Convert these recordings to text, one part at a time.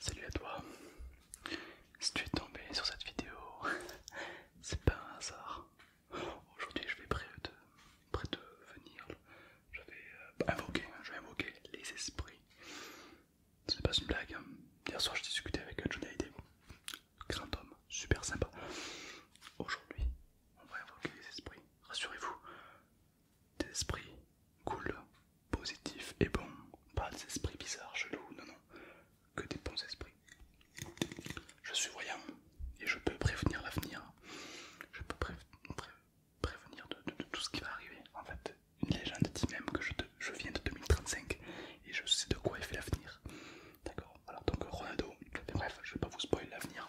Salut à toi. Si tu es tombé sur cette vidéo, c'est pas un hasard. Aujourd'hui, je vais près de, de venir. Je vais euh, invoquer, je vais invoquer les esprits. C'est pas une blague. Hein. Hier soir, je discutais avec Johnny Hallyday. Grand homme, super sympa. Aujourd'hui, on va invoquer les esprits. Rassurez-vous, d'esprit cool, positif et bon. Pas des esprits bizarres, chelous, non, non, que des bons esprits. Je suis voyant et je peux prévenir l'avenir. Je peux prévenir de, tout ce qui va arriver. En fait, une légende dit même que je, viens de 2035 et je sais de quoi est fait l'avenir. D'accord Alors donc Ronaldo, bref, je vais pas vous spoiler l'avenir.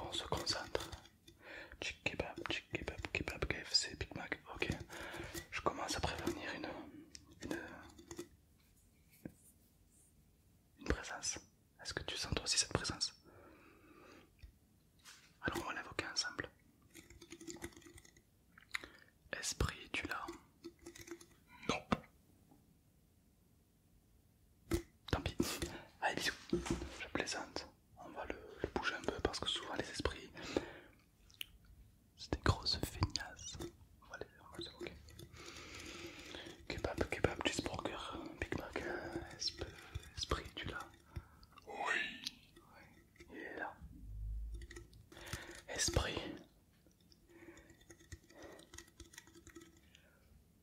on se concentre. Chick kebab, chick kebab, kebab, KFC, Big Mac. Ok, je commence à prévenir une, une, présence. Est-ce que tu sens aussi cette présence Alors on va l'évoquer ensemble. Esprit, tu l'as Non. Tant pis. Allez, bisous. Je plaisante. On va le, bouger un peu parce que souvent les esprits, c'est des grosses feignasses. On va les on va les évoquer. Kebab, kebab, Big Mac, euh, esprit, tu l'as Oui. Oui, il est là. Esprit.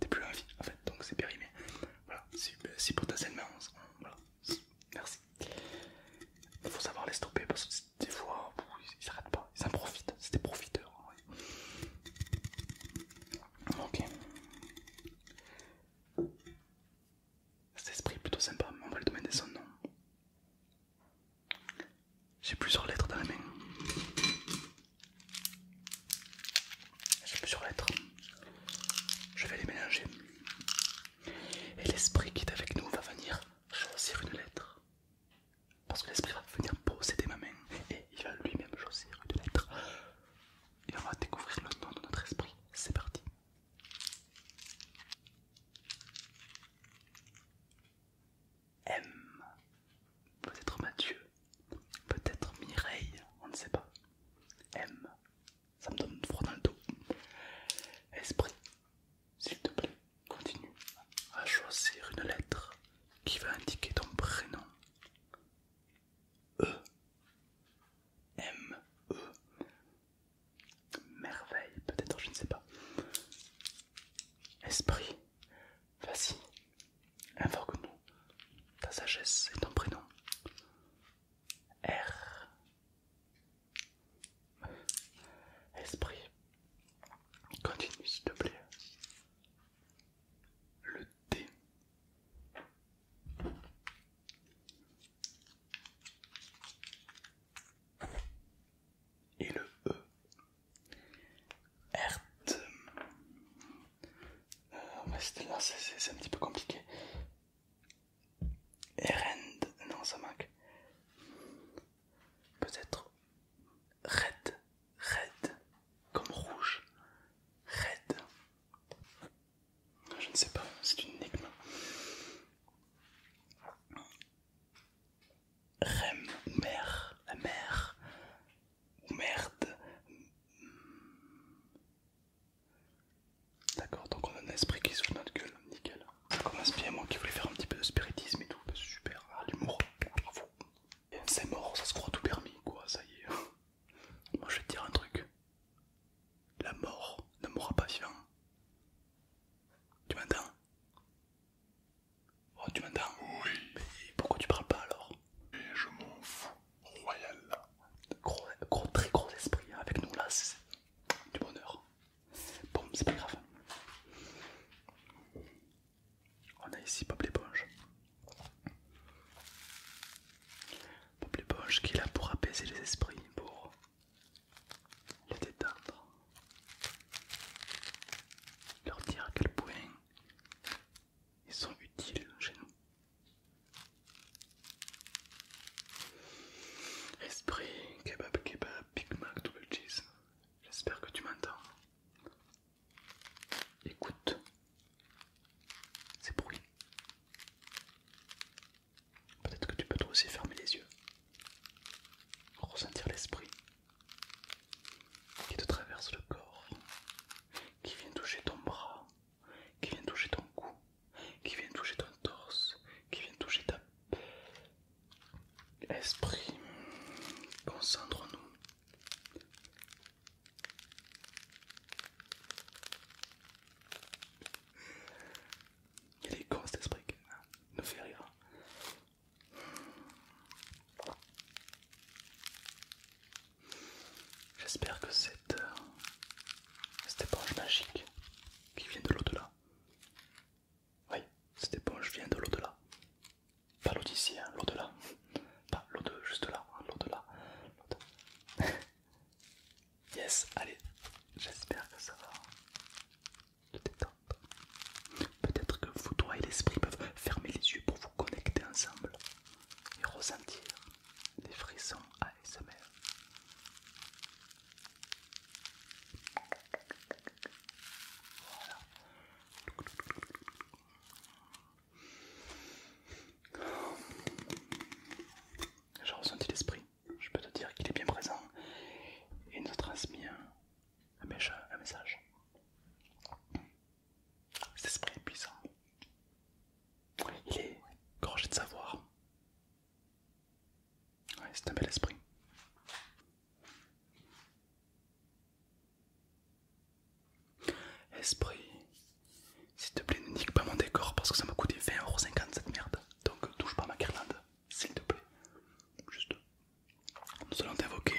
t'es plus en vie en fait, donc c'est périmé. Voilà, si ben, pour ta voilà, merci. faut savoir les stopper parce que des fois, ils s'arrêtent pas, ils en profitent, c'est des profiteurs. Ok. Cet esprit est plutôt sympa, mais on va lui demander son nom. J'ai plusieurs lettres dans la main. J'ai plusieurs lettres. Je vais les mélanger. Et l'esprit qui est avec nous va venir choisir une lettre. Parce que l'esprit va venir posséder ma main et il va lui-même choisir une lettre. Et on va découvrir le nom de notre esprit. C'est parti. M peut-être Mathieu, peut-être Mireille, on ne sait pas. M, ça me donne froid dans le dos. Esprit, s'il te plaît, continue à choisir une lettre qui va indiquer ton prénom. E, M, E, merveille, peut-être, je ne sais pas. Esprit, Vas-y, invoque-nous ta sagesse et ton prénom. R. Esprit, continue s'il te plaît. Le D. Et le E. Erd. mais euh, c'est un petit peu compliqué. Erend. Non, ça manque. Peut-être red. Red. Comme rouge. Red. Je ne sais pas, c'est une énigme. Rem, mer, la mer, ou merde. D'accord, donc on a un esprit qui se souffle notre gueule, nickel. Comme un moi qui voulait faire un petit peu de spiritisme et tout, bah, super, ah, l'humour, bravo. C'est mort, ça se croit tout permis, quoi, ça y est. Moi je vais te dire un truc. La mort ne mourra pas vivant. Tu m'entends Oh, tu m'entends Oui. pourquoi tu parles pas alors je m'en fous. Royal. très gros esprit. Hein, avec nous là, c'est du bonheur. Bon, c'est pas grave. On a ici Bob l'éponge. Bob l'éponge qui est là pour apaiser les esprits, pour les détendre, leur dire à quel point ils sont utiles chez nous. Esprit, kebab, kebab, Big Mac, double cheese. J'espère que tu m'entends. Écoute ces bruits. Peut-être que tu peux toi aussi fermer les yeux, ressentir l'esprit qui te traverse le corps, qui vient toucher ton bras, qui vient toucher ton cou, qui vient toucher ton torse, qui vient toucher ta esprit. concentre nous Il est con cet esprit, qui nous fait rire. J'espère que cette, euh, cette éponge magique qui vient de l'au-delà, oui, cette éponge vient de l'au-delà, pas l'eau d'ici, hein, l'au-delà, pas l'eau de juste là, hein, l'au-delà. yes, allez, j'espère que ça va Peut-être que vous, toi et l'esprit peuvent fermer les yeux pour vous connecter ensemble et ressentir des frissons ASMR. Voilà. J'ai ressenti l'esprit, je peux te dire qu'il est bien présent et nous transmet un message. Cet esprit est puissant. Il est gorgé de savoir. c'est un bel esprit. Esprit, s'il te plaît, ne nique pas mon décor parce que ça m'a coûté 20,50€ cette merde. Donc touche pas ma guirlande, s'il te plaît. Juste nous allons t'invoquer,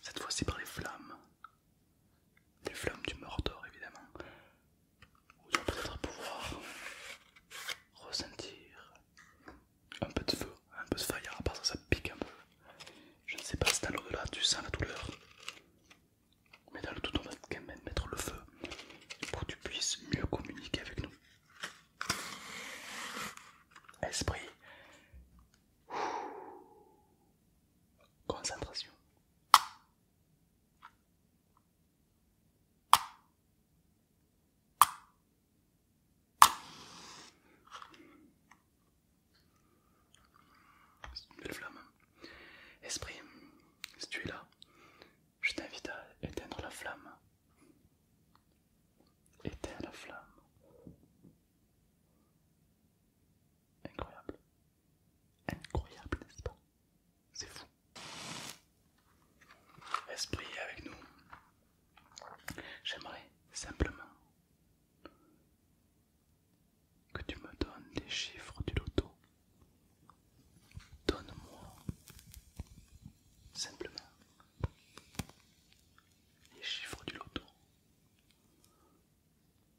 cette fois-ci par les flammes, les flammes du Mordor évidemment, où tu vas peut-être pouvoir ressentir un peu de feu, un peu de fire, à part ça, ça pique un peu. Je ne sais pas si dans l'au-delà tu sens la douleur, mais dans le tout on va quand même mettre le feu pour que tu puisses mieux communiquer avec nous. Esprit. Concentration. flamme. Hein. Esprit, si tu es là, je t'invite à éteindre la flamme éteint la flamme. Incroyable. Incroyable, n'est-ce pas C'est fou. Esprit avec nous. J'aimerais simplement que tu me donnes les chiffres du loto Donne-moi simplement les chiffres du loto.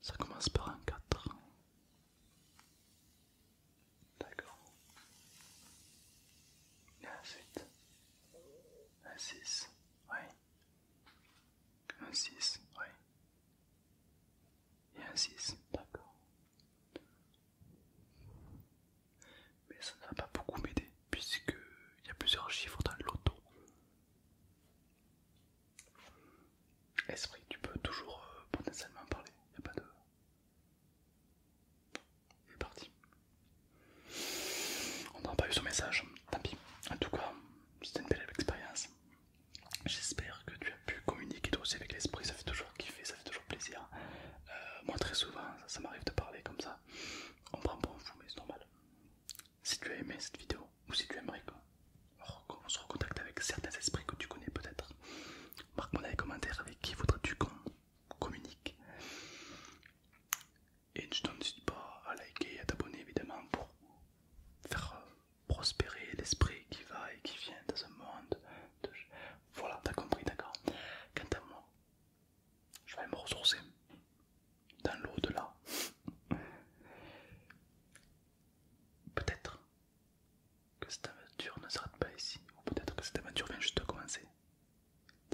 Ça commence par un 4. D'accord. Et ensuite, un 6, oui. Un 6, oui. Et un 6, d'accord. Mais ça ne va pas beaucoup m'aider il y a plusieurs chiffres dans l'auto. Esprit, tu peux toujours euh, potentiellement en parler, il n'y a pas de... parti. On n'a pas eu son message, tant pis. En tout cas, c'était une belle expérience. J'espère que tu as pu communiquer aussi avec l'esprit, ça fait toujours kiffer, ça fait toujours plaisir. Euh, moi, très souvent, ça, m'arrive de parler comme ça. On prend pour un fou, mais c'est normal. Si tu as aimé cette vidéo, ou si tu aimerais qu'on se recontacte avec certains esprits que tu connais peut-être, marque-moi dans les commentaires avec qui voudrais-tu qu'on communique. Et je t'hésite pas à liker et à t'abonner évidemment pour faire euh, prospérer l'esprit qui va et qui vient dans un monde voilà, t'as compris, d'accord Quant à moi, je vais me ressourcer dans l'au-delà. Peut-être que cette aventure ne s'arrête pas ici, ou peut-être que cette aventure vient juste de commencer.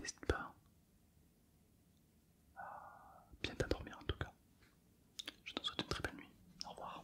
N'hésite pas à bien t'endormir en tout cas. Je te souhaite une très belle nuit. Au revoir.